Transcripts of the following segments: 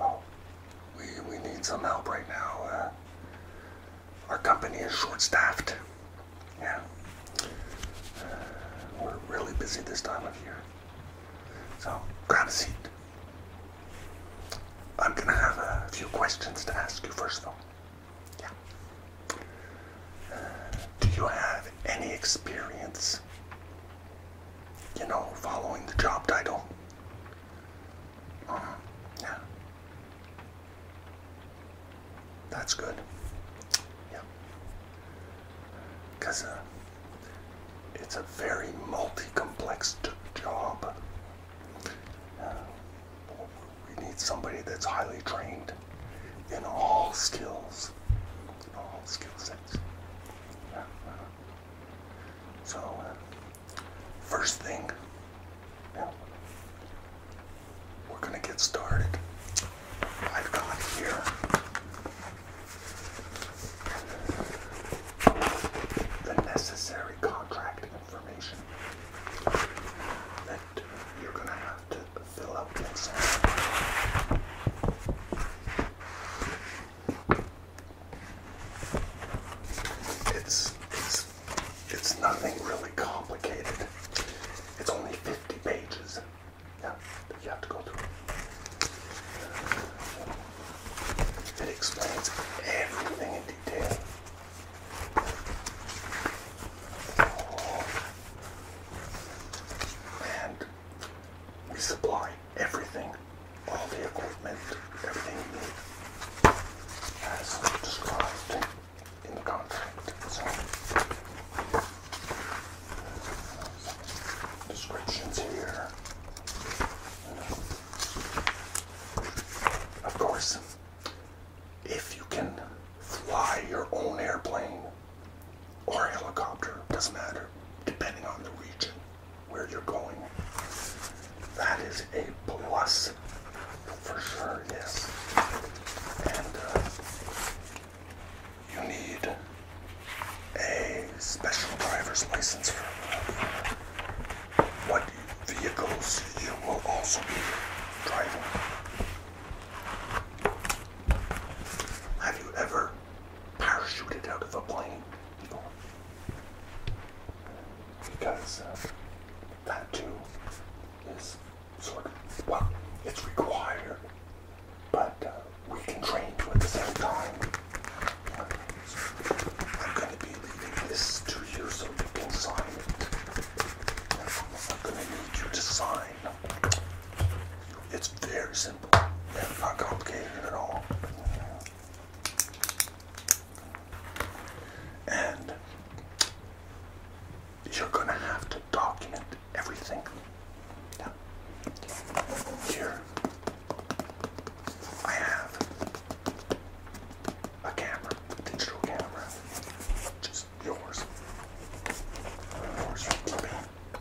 oh, we, we need some help right now. Uh, our company is short-staffed. Yeah. Uh, we're really busy this time of year. So, grab a seat. I'm going to have a few questions to ask you first, though. Yeah. Uh, do you have any experience you know, following the job title. Uh-huh. yeah. That's good. Yeah. Because uh, it's a very multi complex job. Uh, we need somebody that's highly trained in all skills, all skill sets. So, uh, first thing, we're going to get started. I've got here the necessary contract information that you're going to have to fill out it's it's it's nothing really complicated. It's only 50 pages. Yeah, you have to go through It explains everything in detail. And we supply everything, all the equipment, everything you need, as described in the contract. So, descriptions here. Of course, if you can fly your own airplane, or helicopter, doesn't matter, depending on the region where you're going. That is a plus for sure, yes. And uh, you need a special driver's license for what vehicles you will also be driving. Have you ever parachuted out of a plane. Because uh, that too is sort of, well, it's required, but uh, we can train to at the same time. I'm going to be leaving this to you so you can sign it. I'm going to need you to sign. It's very simple. Yeah, not complicated at all. And you're going to have to document everything. Here, I have a camera, digital camera, just yours, yours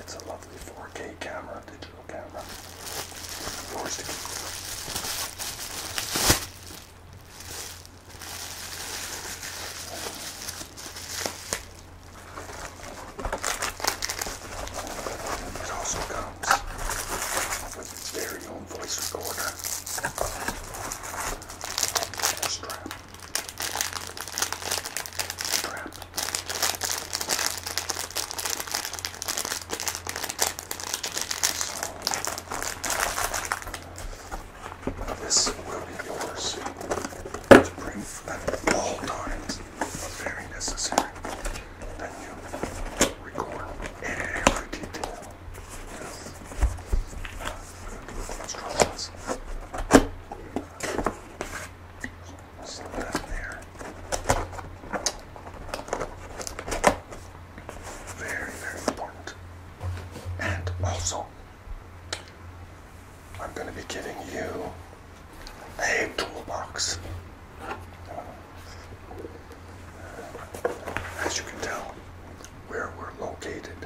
It's a lovely 4K camera, digital camera. Yours to keep. It also comes with very phone voice recorder and a strap. Strap. So, this will be yours to bring at all times, very necessary that you record every detail. Very, very important. And also, I'm going to be giving you a toolbox as you can tell, where we're located.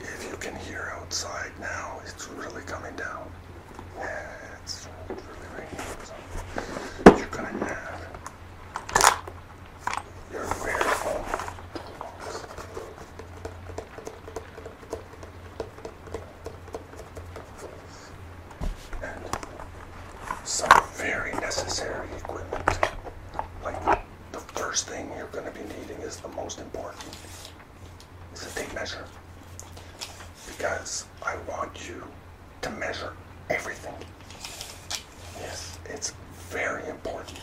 If you can hear outside now, it's really coming down. Yeah, it's really raining. you're going to have your wearable some very necessary equipment. Like the first thing you're going to be needing is the most important is a tape measure because I want you to measure everything. Yes, it's very important.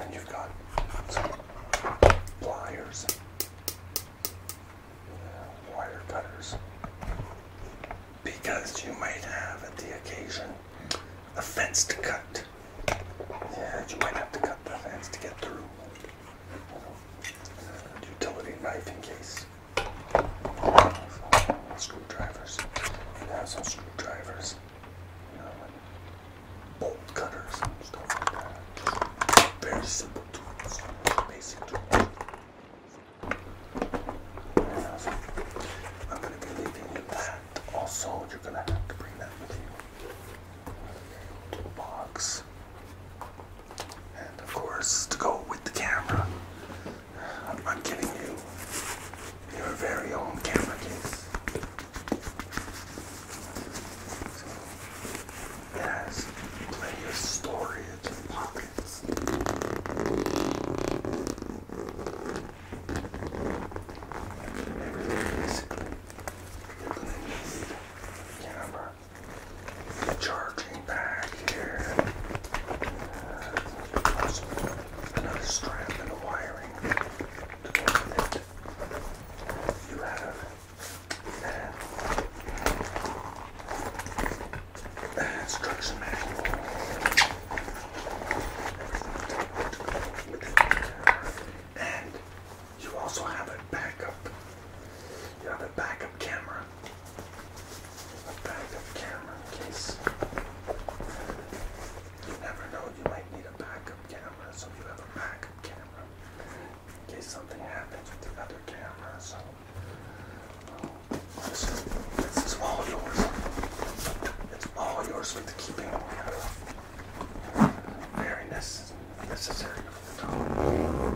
And you've got some pliers, wire cutters, because you might have at the occasion a fence to cut. Yeah, you might have to cut the fence to get through. Utility knife in case. Screwdrivers. You some screwdrivers and bolt cutters Very simple tools, basic tools. I'm going to be leaving you that. Also, you're going to have to bring that with you to And of course, to go with the camera, I'm giving you your very own camera case. So it has storage pockets. Everything basically you camera. charging back here. Uh, another strap and a you have there. instruction manual. And you also have a backup. You have a backup camera. A backup camera case you never know, you might need a backup camera, so you have a backup camera in case something happens with the other camera. So, um, this, is, all yours. It's all yours with the keeping order. the dog.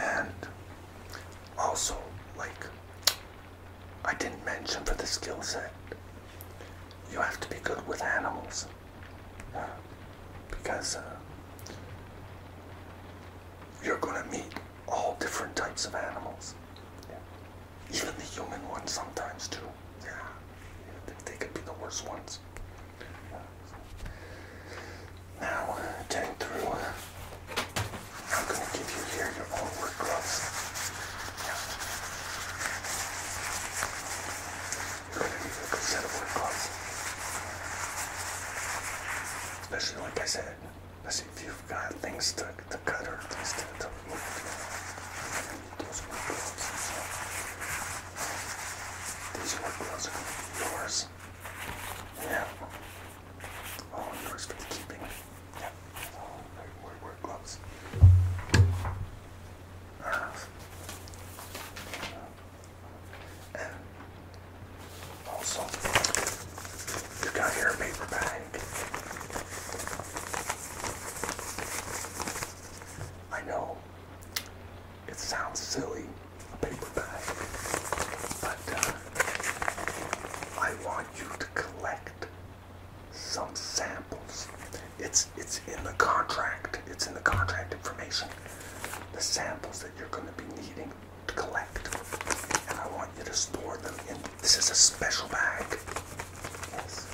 And also, like I didn't mention for the skill set, you have to be good with animals. because uh, you're going to meet all different types of animals. Even the human ones sometimes too. Yeah, they, could be the worst ones. Now, getting through, I'm going to give you here your own work gloves. Yeah. You're going to need a good set of work gloves. Especially, like I said, especially if you got things to, to cut or things to, these workloads gloves. These workloads are going to yours. Yeah. All yours for keeping. Yeah. All your uh, also, you got your paper bag. I know it sounds silly, a paper bag, but uh, I want you to collect some samples. It's it's in the contract. It's in the contract information. The samples that you're going to be needing to collect, and I want you to store them in. This is a special bag. Yes,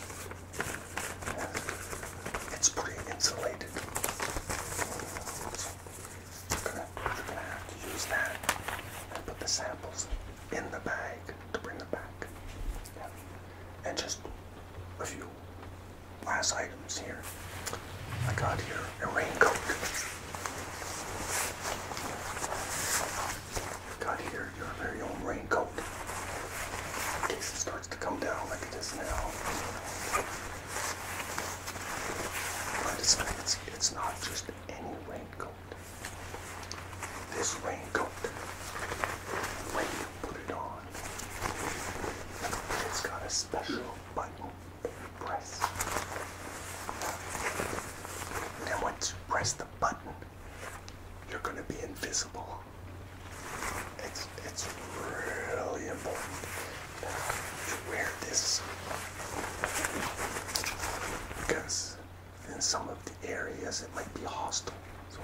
it's pretty insulated. we're gonna, have to use that and put the samples in the bag to bring them back. And just a few last items here. I got here a raincoat got here your very own raincoat. In case it starts to come down like it is now. But it's, it's, it's not just any raincoat. This raincoat, when you put it on, it's got a special button press. And once you press the button, you're going to be invisible. It's, it's really important to wear this because in some of the areas it might be hostile. So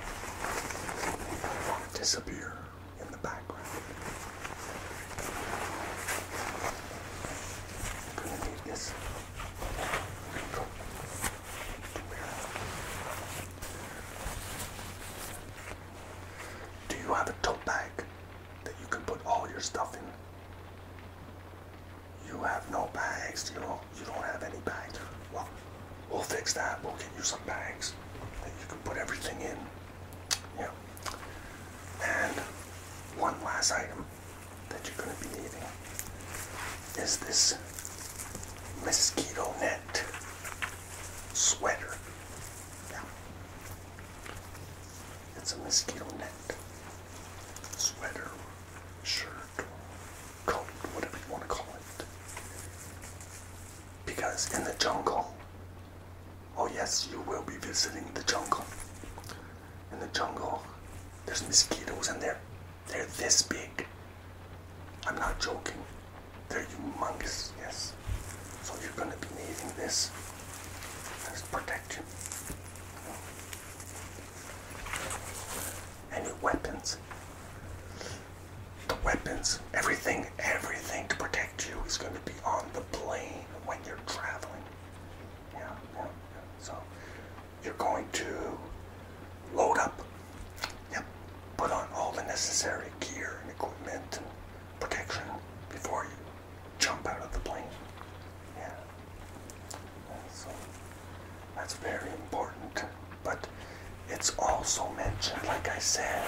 to disappear in the background. Gonna need this. Do you have a tote bag that you can put all your stuff in? You have no bags. You don't. You don't have any bags. Well, we'll fix that. We'll get you some bags that you can put everything in. Yeah. And one last item that you're going to be needing is this mosquito net sweater. Yeah. It's a mosquito net sweater, shirt, coat, whatever you want to call it. Because in the jungle, oh yes, you will be visiting the jungle. In the jungle, there's mosquitoes in there. They're this big. I'm not joking. They're humongous, yes. So you're gonna be needing this as protection. Any weapons. The weapons, everything, everything to protect you is gonna be on the plane when you're traveling. Yeah, yeah, yeah. So you're going to load up. Yep, put on all the necessary gear and equipment and protection before you jump out of the plane. Yeah. so that's very important. But it's also mentioned, like I said,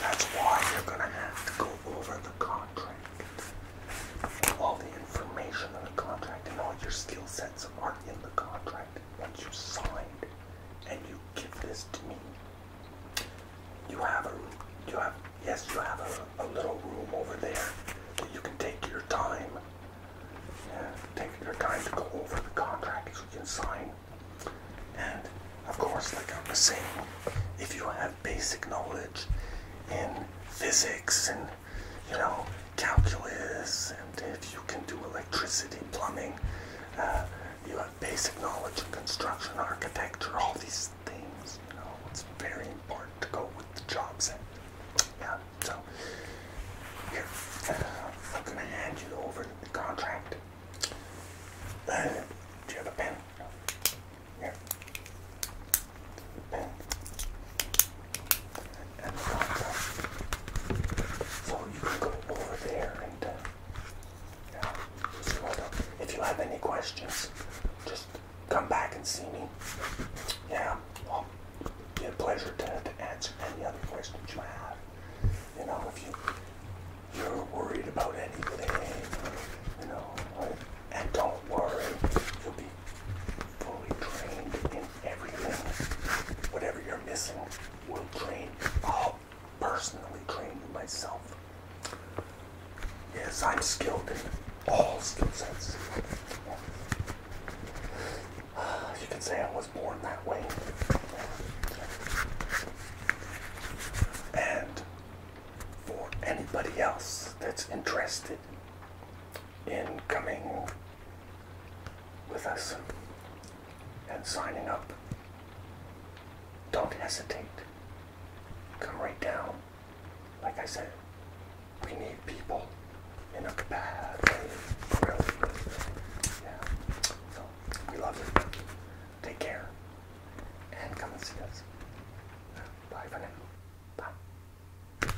that's why you're gonna have to go over the contract. All the information on the contract and all your skill sets are in the contract once you signed and you give this to me. You have a, you have, yes, you have a, little room over there that you can take your time, take your time to go over the contract so you can sign. And of course, like I am saying, if you have basic knowledge in physics and you know, calculus, and if you can do electricity, plumbing, uh, you have basic knowledge of construction, architecture, all these things, you know, it's very important to go with the jobs. set. Yeah, so here, uh, I'm gonna hand you over the contract. Uh, do you have a pen? Here and So you can go over there and uh, yeah, if you have any questions, just come back and see me. Yeah, well, oh, be a pleasure to, answer any other questions you have. You know, if you you're worried about anything, you know, and don't worry, you'll be fully trained in everything. Whatever you're missing will train. I'll personally train you myself. Yes, I'm skilled in all skill sets. You can say I was born that way. And for anybody else that's interested, in coming with us and signing up. Don't hesitate. Come right down. Like I said, we need people in a bad way. Really. Yeah. So, we love you. Take care. And come and see us. Bye for now. Bye.